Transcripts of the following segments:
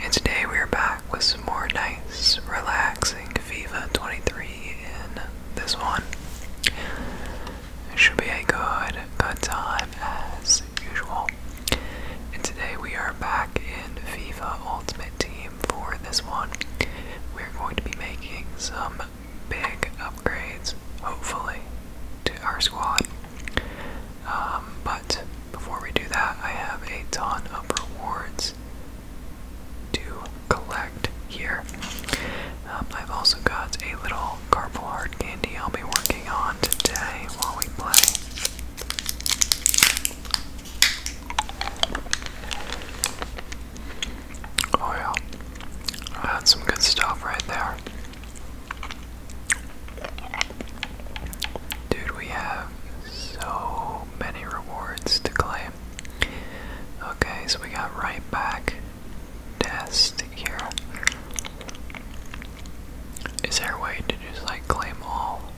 And today we are back with some more nice, relaxing FIFA 23 in this one. It should be a good, good time as usual. And today we are back in FIFA Ultimate Team for this one. We're going to be making some big upgrades, hopefully, to our squad. Um, but before we do that, I have a ton of rewards to collect here. Um, I've also got a little Carpal candy I'll be working on today while we play. Oh yeah, that's some good stuff right there. Dude, we have so many rewards to claim. Okay, so we got right back test here. Is there a way to just like claim all?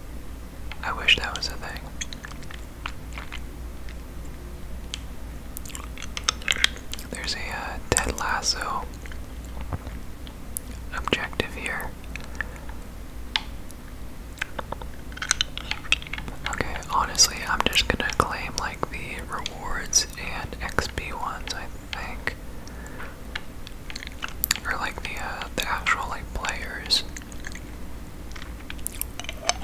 I wish that was a thing. There's a dead uh, Lasso objective here. Okay, honestly, I'm just gonna claim like the rewards and XP ones, I think. Or like the uh, the actual like players.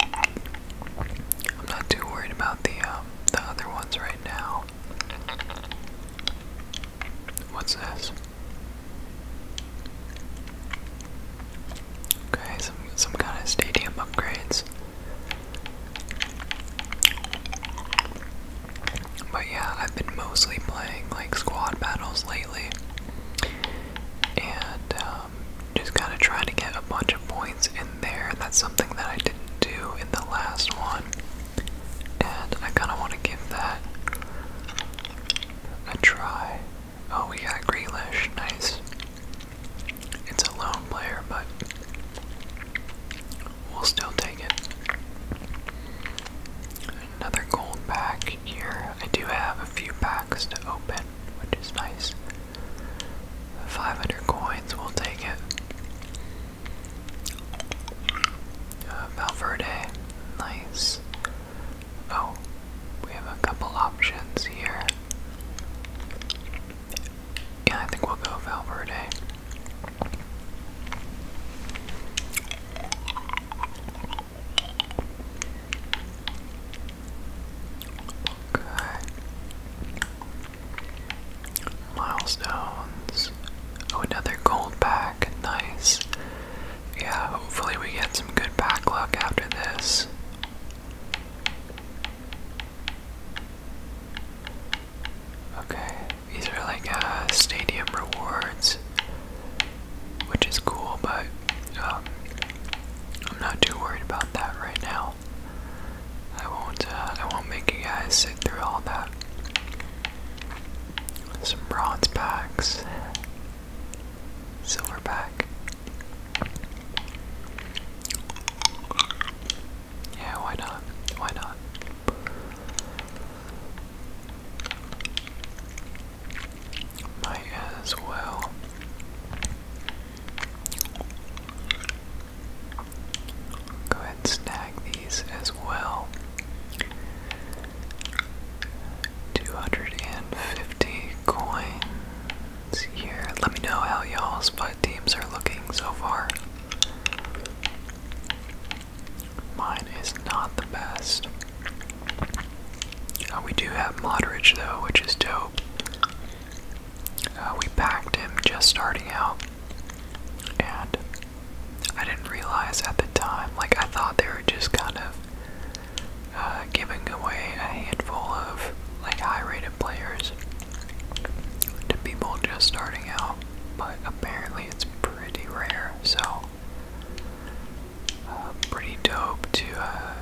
I'm not too worried about the um, the other ones right now. What's this? Okay, some some kind of stadium upgrades. But yeah, I've been mostly playing like squad battles lately. And um, just kind of trying to get a bunch of points in there. That's something that I didn't do in the last one and I kind of want to give that a try. Oh, we got Grealish, nice. It's a lone player, but we'll still take it. Another gold pack here. I do have a few packs to open, which is nice. 500 coins, we'll take it. Uh, Valverde, nice. Oh, we have a couple options here. Yeah, I think we'll go Valverde. Okay milestones. Oh, another gold pack. Nice. Yeah, hopefully we get some good pack luck after this. Okay, these are like uh, stadium rewards, which is cool, but um, I'm not too worried about that right now. I won't. Uh, I won't make you guys sit through all that. Some bronze packs. Silver pack. Yeah, why not? Why not? Might as well. Go ahead and snag these as well. 250 coins here. Let me know how you all spot teams are looking so far. Mine is not the best. Uh, we do have Modridge though, which is dope. Uh, we backed him just starting out. And I didn't realize at the time, like, I thought they were just kind of uh, giving away a handful of, like, high rated players to people just starting out, but apparently it's pretty rare, so uh, pretty dope to uh,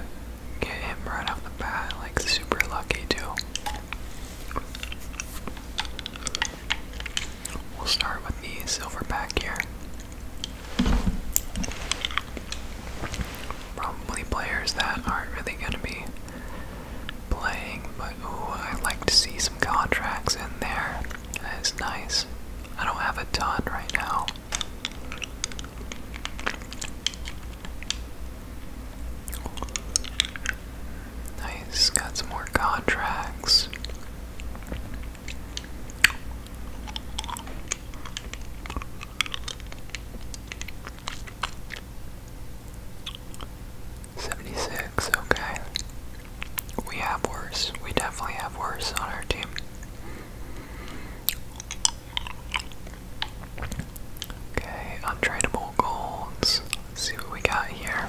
get him right off the bat, like, super lucky, too. We'll start with the silver pack here. Probably players that aren't really going to be playing, but ooh, i like to see some contracts in there. That is nice. I don't have a ton right now. Nice, got some more contracts. Seventy six, okay. We have worse. We definitely have worse on our team. Okay, untradeable golds. see what we got here.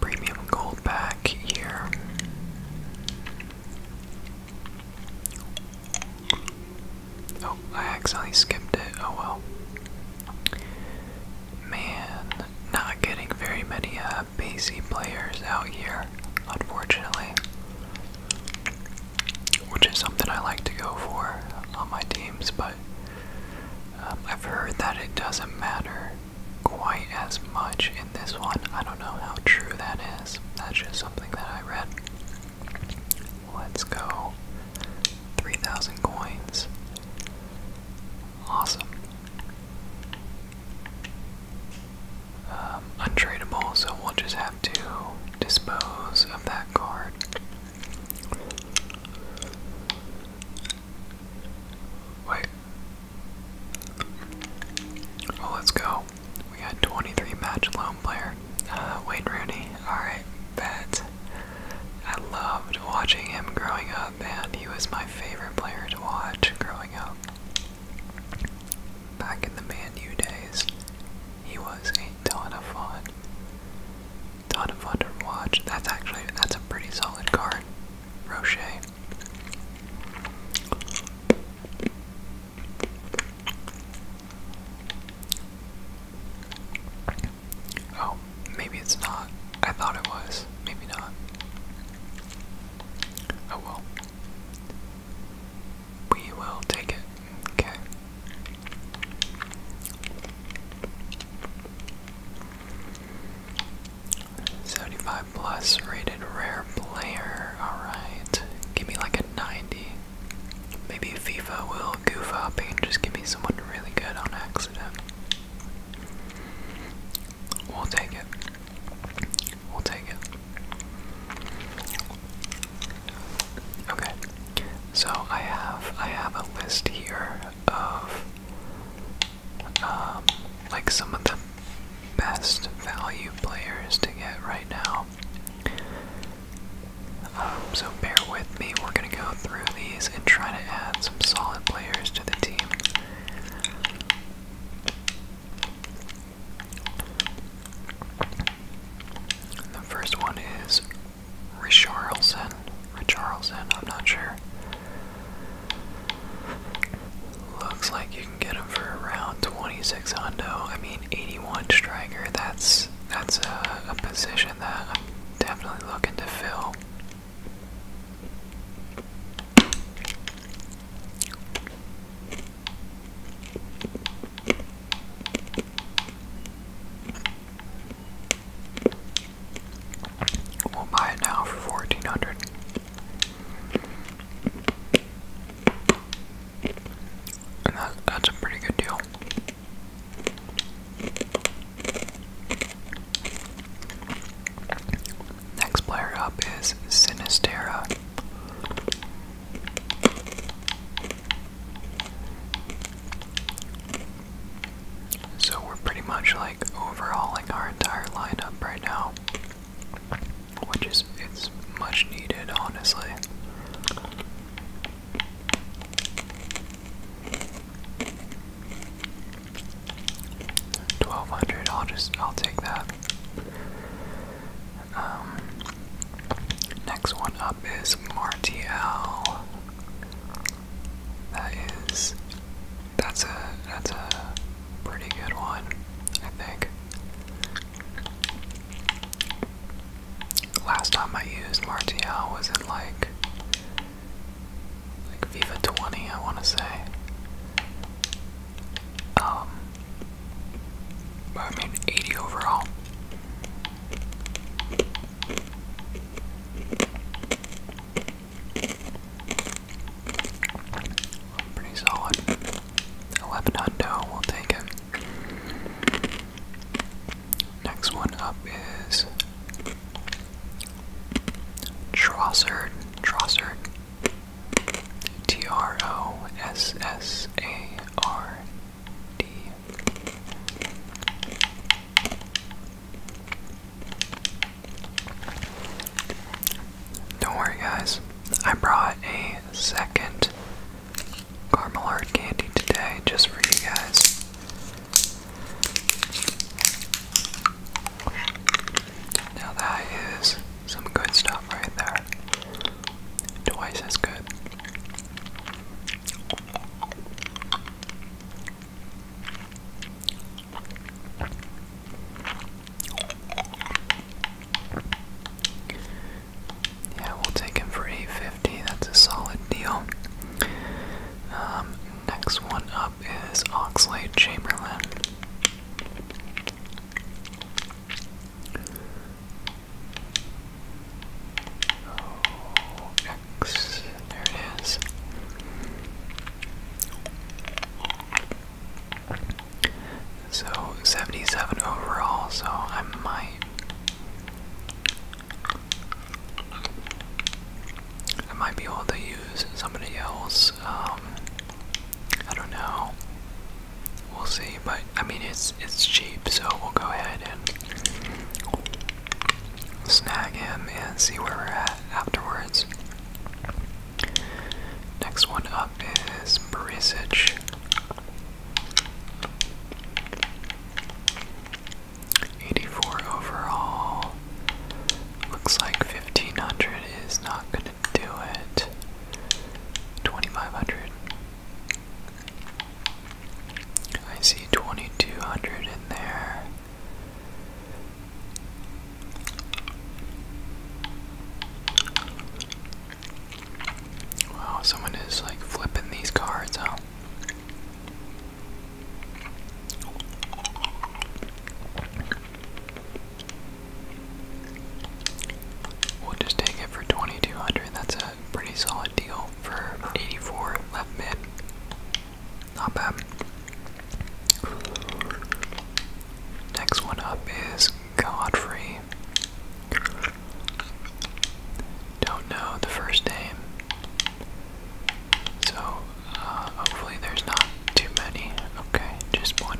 premium gold back here. Oh, I accidentally skipped it. Oh well. Man, not getting very many uh, players out here, unfortunately. Which is something I like to go for on my teams, but um, I've heard that it doesn't matter quite as much in this one. I don't know how true that is. That's just something that I read. Let's go. 3,000 coins. Awesome. Um, untradeable, so we'll just have to dispose of that card. Wait, well, let's go. We got 23 match loan player. Uh, Wayne Rooney. Alright, that. I loved watching him growing up, and he was my favorite player to watch growing up. Back in the Man U days, he was a ton of fun. Ton of fun to watch. That's actually that's a pretty solid card. Rocher. Oh, maybe it's not. I thought it was. Maybe not. Oh well. We will take it. Okay. 75 plus rated rare player. Alright. Give me like a 90. Maybe FIFA will goof up and just give me someone really good on accident. We'll take it. We'll take it. Okay. So I have I have a list here of um, like some of the best value players to get right now. Um, so bear with me, we're going to go through these and try to add some solid players to the team. The first one is Richarlison or Charleston, I'm not sure. Looks like you can get him for around 26 hundo. I mean, 81 striker. That's that's a position that I'm definitely looking to fill. We'll buy it now for 1400 And that's a pretty good deal. Next player up is Sinistera. So we're pretty much like overhauling our entire lineup right now. Which is it's much needed honestly. Twelve hundred, I'll just I'll take that. Um next one up is Martial. That is that's a that's a pretty good one, I think. Last time I used Martial was in like like FIFA 20, I want to say. Um, I mean 80 overall. Pretty solid. 11 we'll take it. Next one up is Trossard. Trossard. T R O S S A R D. Don't worry, guys. I brought a second caramel hard candy today just for you guys. Now, that is some good stuff right there. Twice as good. Yeah, we'll take him for 850. That's a solid deal. Um, next one up is Oxley Chamberlain. There it is. So 77 overall, so I might. I might be able to use somebody else. Um, I don't know. We'll see, but I mean it's it's cheap, so we'll go ahead and snag him and see where we're at afterwards. Next one up is Barisic. Eighty-four overall. Looks like fifteen hundred is not gonna do it. Twenty-five hundred. I see twenty-two hundred in there. Wow, someone is like flipping these cards out. We'll just take it for 2200. That's a pretty solid deal for 84 left mid. Not bad. Next one up is Godfrey. Don't know the first name. So, uh, hopefully there's not too many. Okay, just one.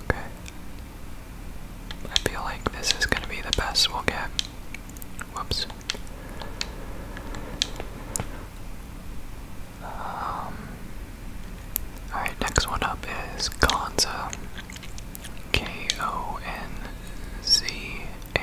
Okay. I feel like this is going to be the best we'll get. Whoops. Um, Alright, next one up is Gonza. K O N Z A.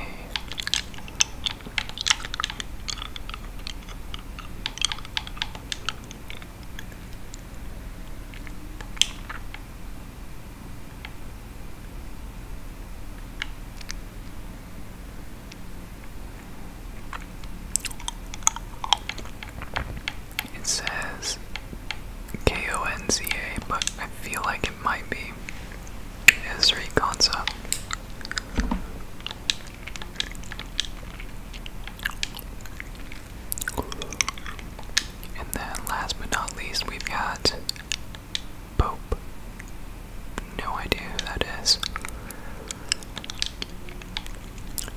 It says K-O-N-Z-A, but I feel like it might be Esri Konsa. And then last but not least, we've got Pope. No idea who that is.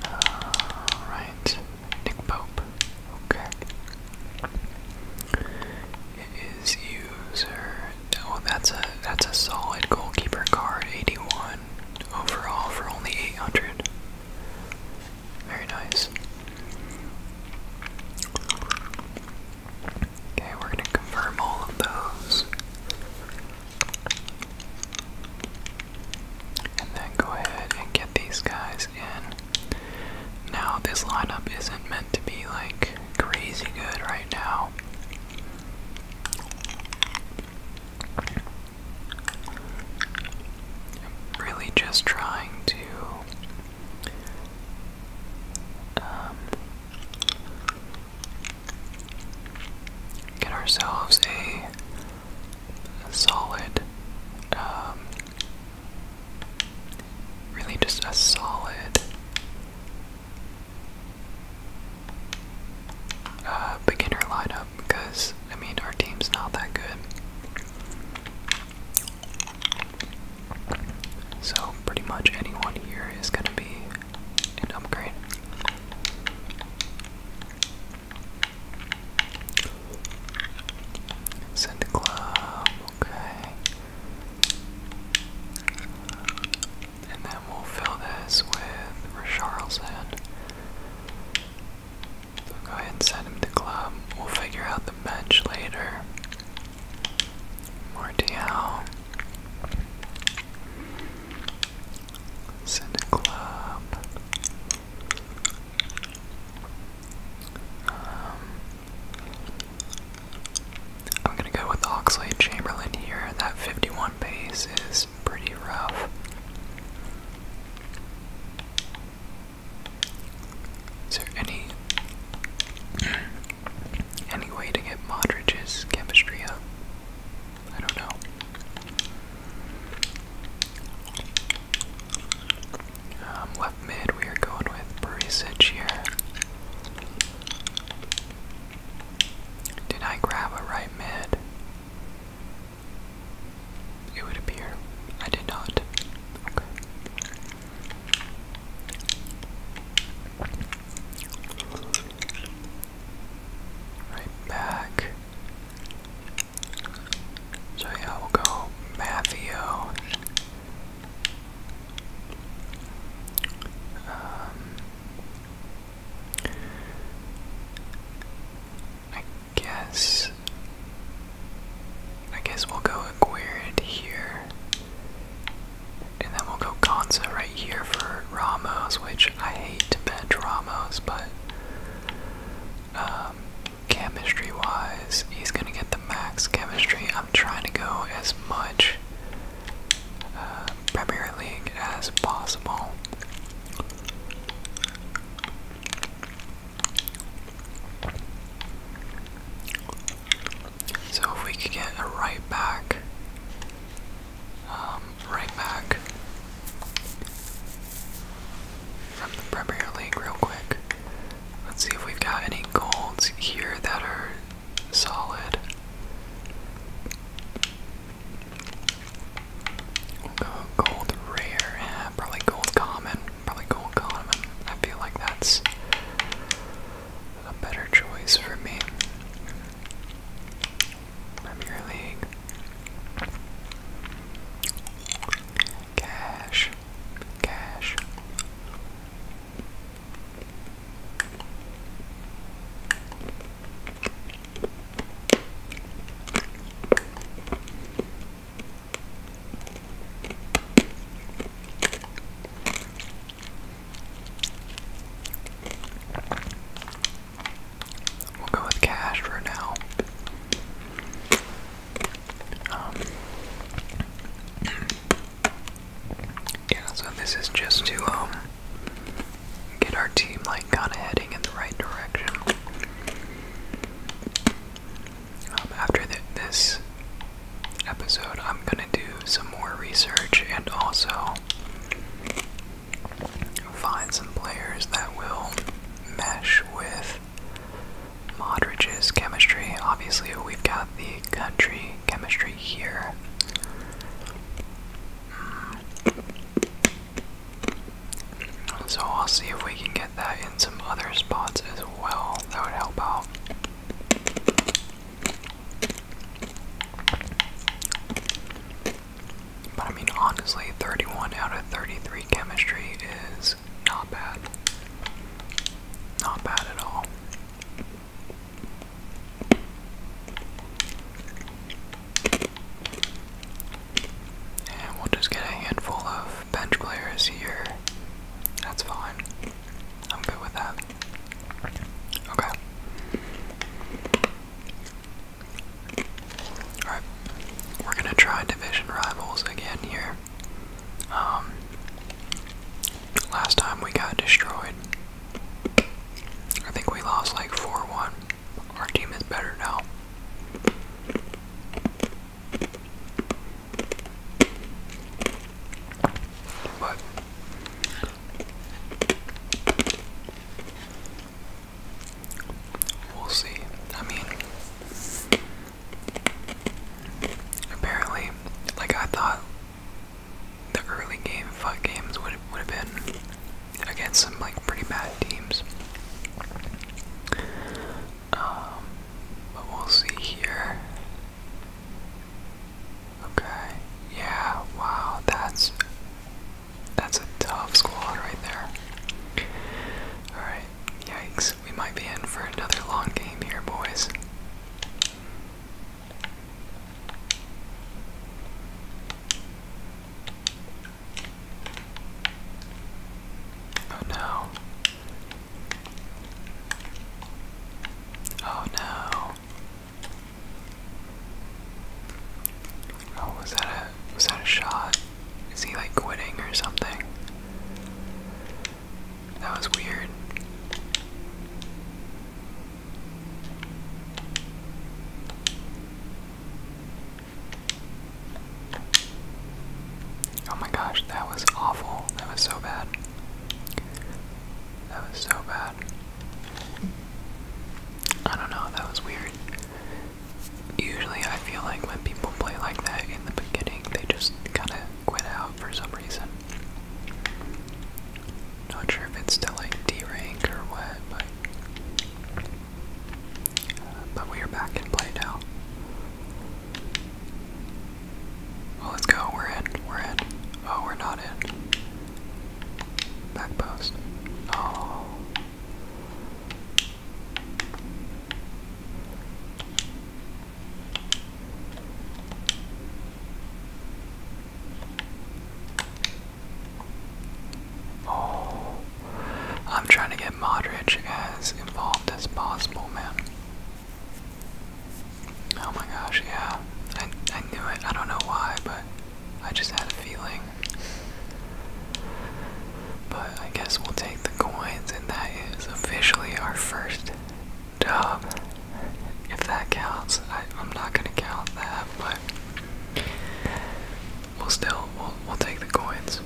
Alright, Nick Pope. Okay is user. Oh, that's a that's a solid goalkeeper card. 81 overall for only 800. Very nice. Okay, we're gonna confirm all of those. And then go ahead and get these guys he's Now, this lineup isn't meant to be like crazy good right now. I'm really just trying to. Um, get ourselves a, solid um, Really, just a solid uh, beginner lineup because I mean our team's not that good. So pretty much anyone here is going to be an upgrade. Send the Okay. And then we'll fill this with Richarlison. So go ahead and send him to club. We'll figure out the bench later. Martial. Send to club. Um, I'm gonna go with Oxley Chamberlain here. That 51 pace is pretty rough. Is there any any way to get Modridge's chemistry up? I don't know. Um, mid, we are going with Barisic here. Did I grab a right mid? It would appear. I did not. Right back. So yeah, we'll go Matthews. Um, I guess I guess we'll go Aguirre here. And then we'll go Gonza right here for Ramos, which I hate to bench Ramos, but um, chemistry wise, he's gonna get the max chemistry. I'm trying to go as much uh, Premier League as possible. So if we could get a right back, um, right back from the Premier League real quick. Let's see if we've got any golds here that are solid. gold rare, probably gold common, probably gold common. I feel like that's a better choice for me. Premier League. Cash. Cash. We'll go with cash for now. Um, yeah, so this is just to um, get our team like kind of heading in the right direction. Um, after this episode, I'm gonna do some more research and also find some players that will mesh with Modridge's chemistry. Obviously, we've got the country chemistry here. Mm. So I'll see if we can get that in some other spots as well. That would help out. But I mean, honestly, 31 out of 33 chemistry is not bad. Not bad at all. And we'll just get a handful of bench players here. That's fine. I'm good with that. Okay. Alright. We're gonna try division rivals again here. Um, last time we got destroyed. I think we lost like 4 1. Our team is better now. But. We'll see. I mean, Apparently, like I thought, the early game fight games would would have been against some like pretty bad teams. Um, but we'll see here. Okay. Yeah. Wow. That's that's a tough squad right there. All right. Yikes. We might be in for another long game here, boys. Oh no. Oh no. Oh, was that a was that a shot? Is he like quitting or something? That was weird. Oh my gosh, that was awful. That was so bad. That was so bad. I don't know, that was weird usually I feel like when people play like that in the beginning, they just kind of quit out for some reason. Not sure if it's still like D rank or what, but. Uh, but we are back in play now. Well, let's go. We're in. We're in. Oh, we're not in. Back post. Oh. Oh, I'm trying to get Modric as involved as possible, man. Oh my gosh, yeah. I, I knew it. I don't know why, but I just had a feeling. But I guess we'll take the coins, and that is officially our first dub. If that counts, I, am not gonna count that, but we'll still we'll we'll take the coins.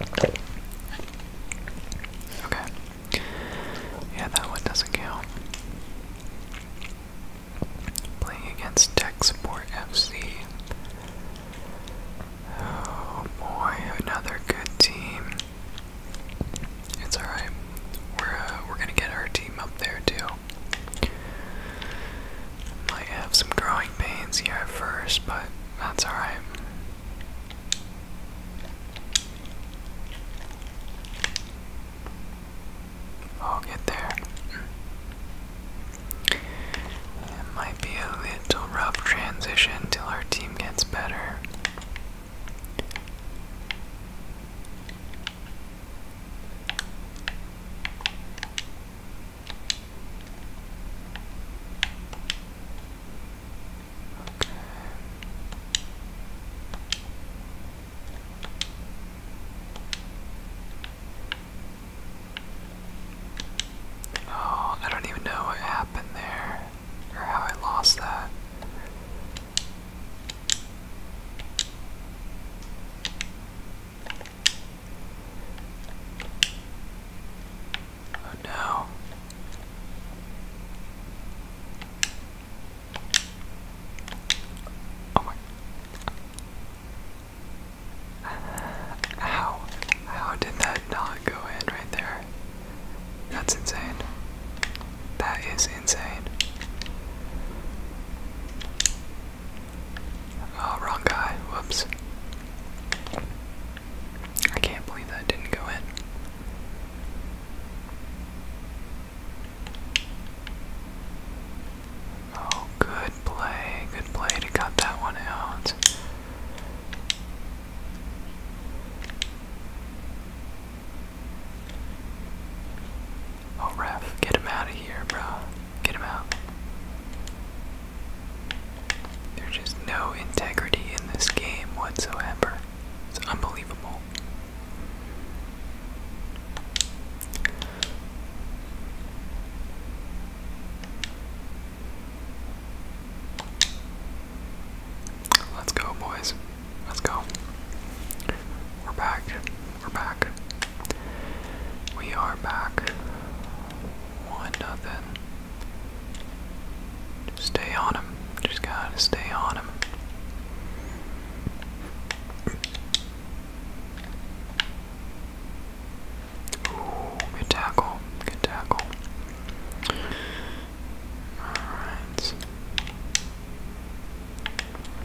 Okay. Yeah, that one doesn't count. Playing against Tech Support FC. Oh boy, another good team. It's alright. We're uh, we're gonna get our team up there too. Might have some growing pains here at first, but that's alright. I'll get there. It might be a little rough transition till our team gets better. Oh, I don't even know what happened there or how I lost that. Oh no. Oh my. How? How did that not go in right there? That's insane. That is insane. Oh, wrong guy. Whoops. I can't believe that didn't go in. Oh, good play, good play to cut that one out. Oh, ref, get him out of here, bro. Get him out. There's just no integrity in this game whatsoever. It's unbelievable. Let's go, boys. Let's go. We're back. We're back. We are back. One nothing stay on him. Just gotta stay on him. Ooh, good tackle. Good tackle. Alright.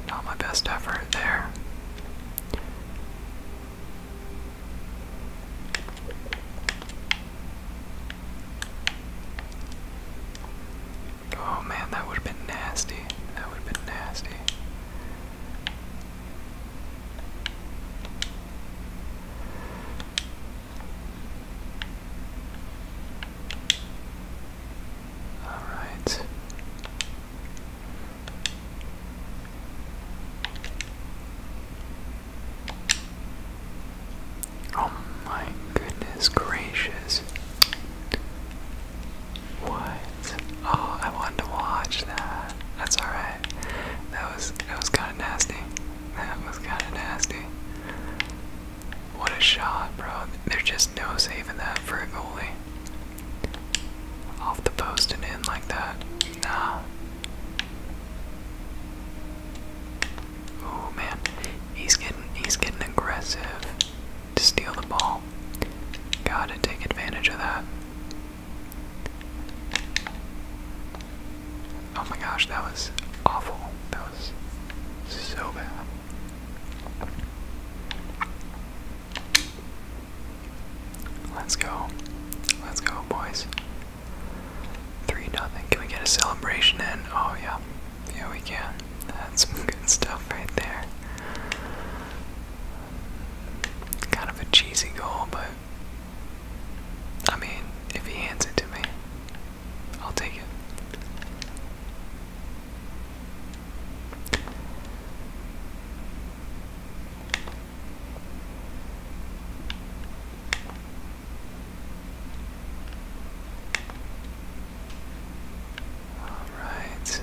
Not my best effort there. Oh man, that would have been nasty. That would have been nasty. All right. Oh my goodness gracious. What? Oh, I wanted to watch that. That's alright. That was that was kinda nasty. That was kinda nasty. What a shot, bro. There's just no saving that for a goalie. Off the post and in like that. Nah, Oh man, he's getting he's getting aggressive to steal the ball. Gotta take advantage of that. Oh my gosh, that was awful. That was so bad. Let's go. Let's go, boys. Three nothing. Can we get a celebration in? Oh yeah, yeah we can. That's some good stuff right there. Kind of a cheesy goal, but I mean, if he hands it to me, I'll take it. All right.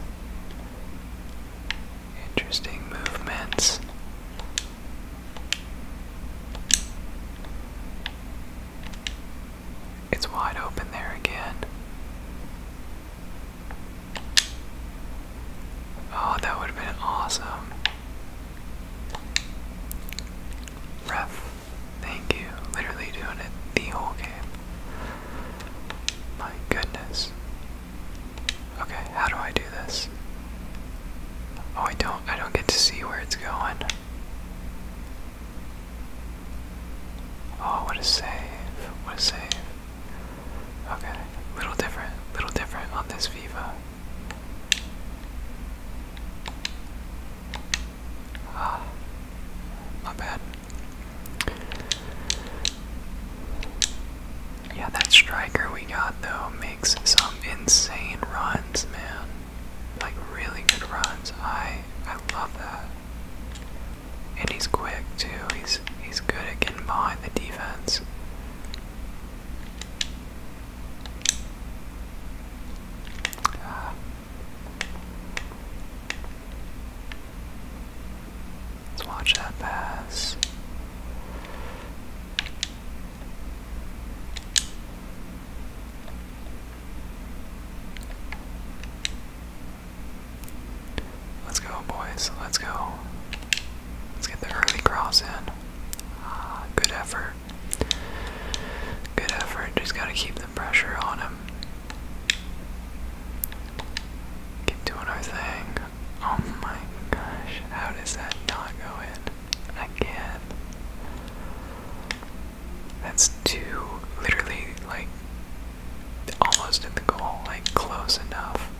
Interesting movements. It's wide open there again. Oh, that would have been awesome. Ref, thank you. Literally doing it the whole game. My goodness. Okay, how do I do this? Oh, I don't I don't get to see where it's going. Oh, what a save. What a save. Okay, little different, little different on this Viva. Ah, not bad. Yeah, that striker we got though makes some insane runs, man. Like really good runs. I I love that. And he's quick too. He's he's good at getting behind the defense. Let's watch that pass. Let's go, boys. Let's go. Let's get the early cross in. Ah, good effort. Good effort. Just gotta keep the pressure on him. Keep doing our thing. Oh my gosh, how does that not go in? Again. That's two, literally, like, almost at the goal, like, close enough.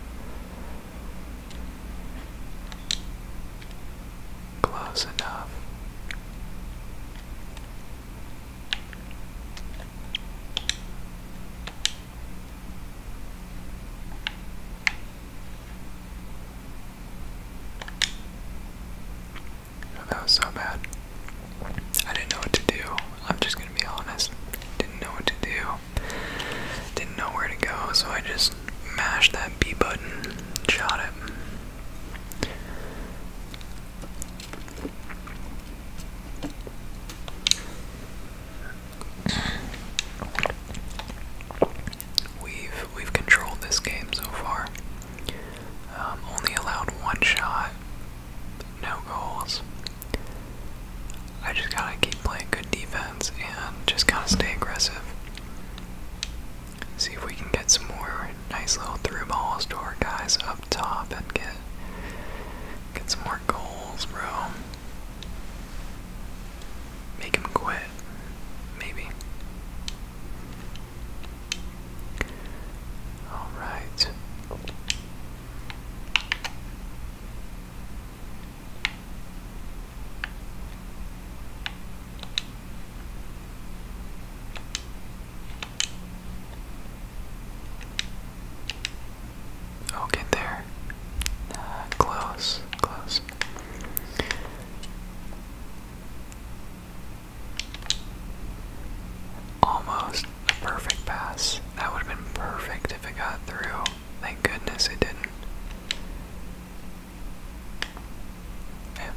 Close enough. Oh, that was so bad. I didn't know what to do. I'm just gonna be honest. Didn't know what to do didn't know where to go, so I just mashed that B button, shot it. We've we've controlled this game so far. Um, only allowed one shot, no goals. I just gotta keep playing good defense and just gotta stay aggressive. See if we can get some more nice little through balls to our guys up top and get get some more goals, bro. Make him quit, maybe. All right i there. Uh, close, close. Almost a perfect pass. That would have been perfect if it got through. Thank goodness it didn't. Yeah.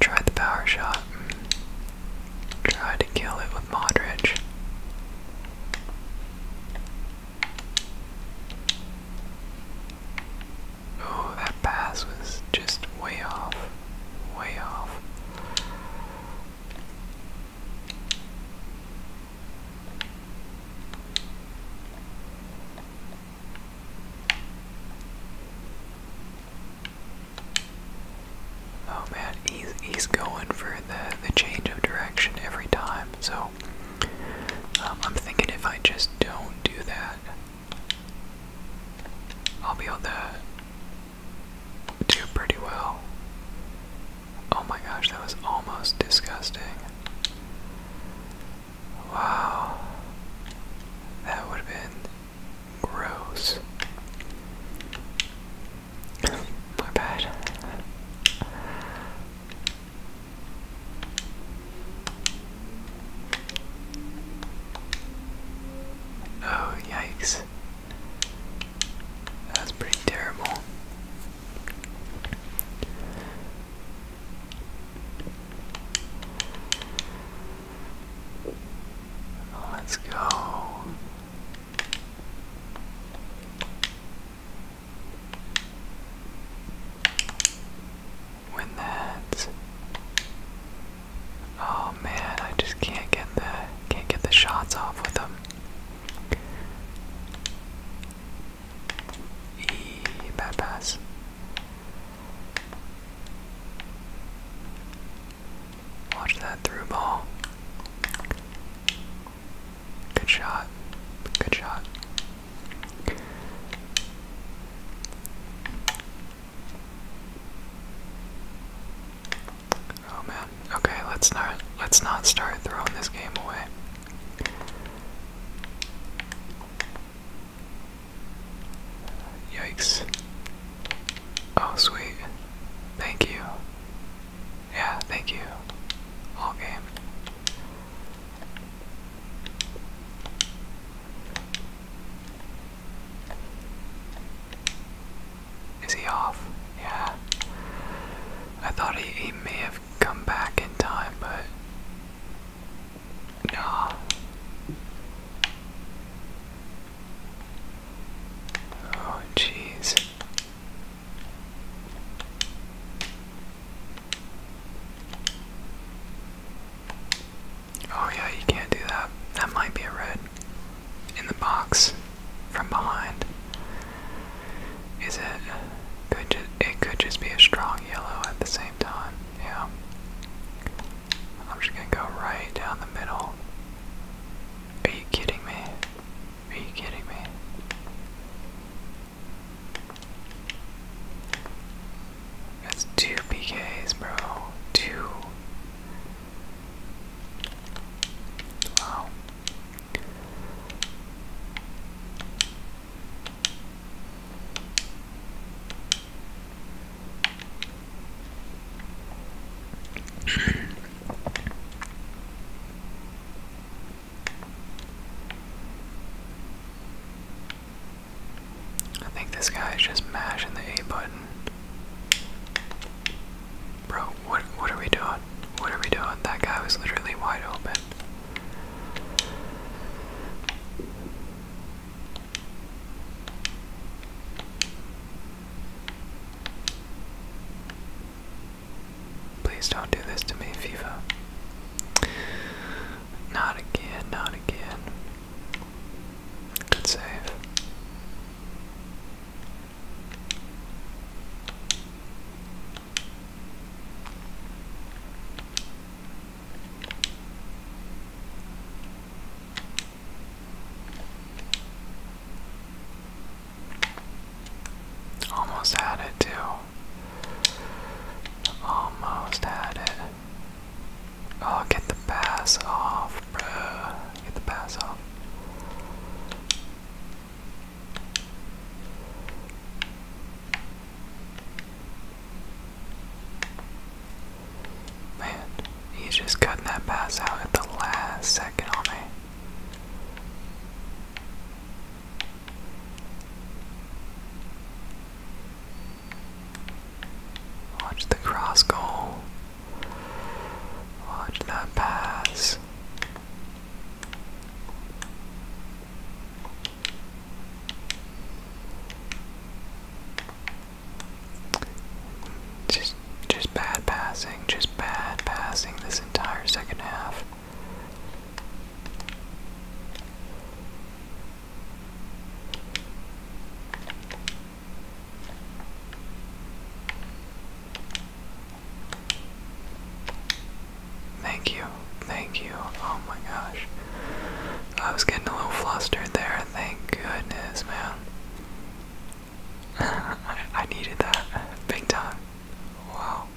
tried the power shot. Tried to kill it with Modric. Oh, that pass was just way off. Way off. Oh man, he's he's going for the the change of direction every time. So um, I'm thinking if I just don't do that, I'll be able to do pretty well. Oh my gosh, that was almost disgusting. Wow. That would have been gross. my bad. Oh, yikes. That's pretty terrible. Let's go win that. Oh man, I just can't get the can't get the shots off with them. E bad pass. Watch that through ball. Good shot. Good shot. Oh man. Okay, let's not let's not start throwing this game away. Yikes. Oh sweet. Thank you. Yeah, thank you. All game. Is he off? Yeah. I thought he, he may have come back in time, but. Nah. Oh, jeez. Oh, yeah, you can't do that. That might be a red. In the box from behind. Is it? Could ju it could just be a strong yellow at the same time. Yeah. I'm just gonna go right down the middle. Are you kidding me? Are you kidding me? That's two PKs, bro. Two. Wow. I think this guy is just mashing the A button. Bro, what what are we doing? What are we doing? That guy was literally wide open. Please don't do this to me, FIFA. Not again, not again. Good save. Almost had it too. Almost oh, had it. Oh, get the pass off, bruh. Get the pass off. Man, he's just cutting that pass out at the last second on me. Watch the cross goal. Watch that pass. Just just bad passing, just bad passing this entire second half. Thank you, thank you. Oh my gosh. I was getting a little flustered there. Thank goodness, man. I, needed that big time. Wow.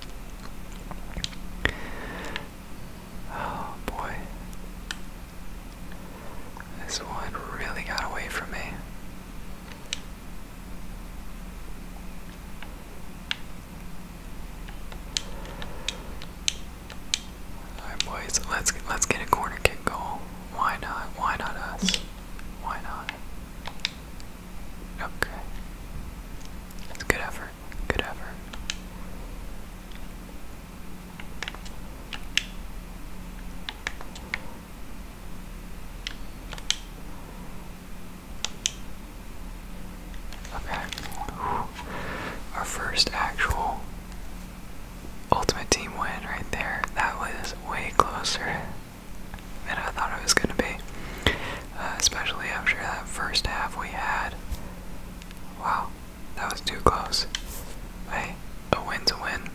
Oh boy. This one really got away from me. Alright boys, let's let's get a corner kick goal. Why not? Why not us? Why not? Okay. It's a good effort. Good effort. Okay. Our first actual ultimate team win right there. That was way closer than I thought it was going to be. Uh, especially after that first half we had Wow, that was too close. Hey, a win's a win.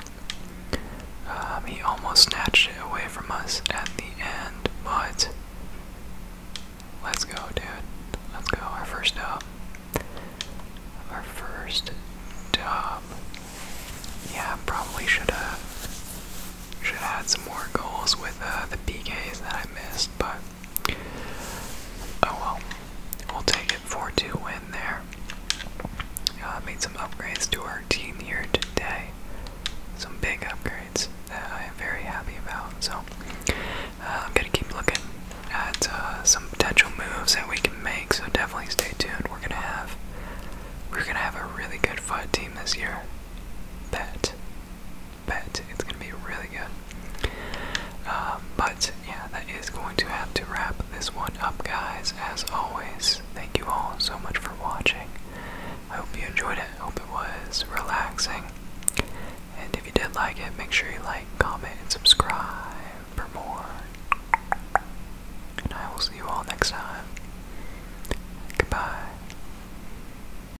Um, he almost snatched it away from us at the end, but let's go, dude. Let's go. Our first dub. Our first dub. Yeah, probably should have should have had some more goals with uh, the PKs that I missed, but Oh well, we'll take it 4-2 win there. Uh, made some upgrades to our team here today. Some big upgrades that I am very happy about. So uh, I'm gonna keep looking at uh, some potential moves that we can make. So definitely stay tuned. We're gonna have we're gonna have a really good FUD team this year. That bet it's going to be really good. Um, but yeah, that is going to have to wrap this one up, guys. As always, thank you all so much for watching. I hope you enjoyed it. I hope it was relaxing. And if you did like it, make sure you like, comment, and subscribe for more. And I will see you all next time. Goodbye.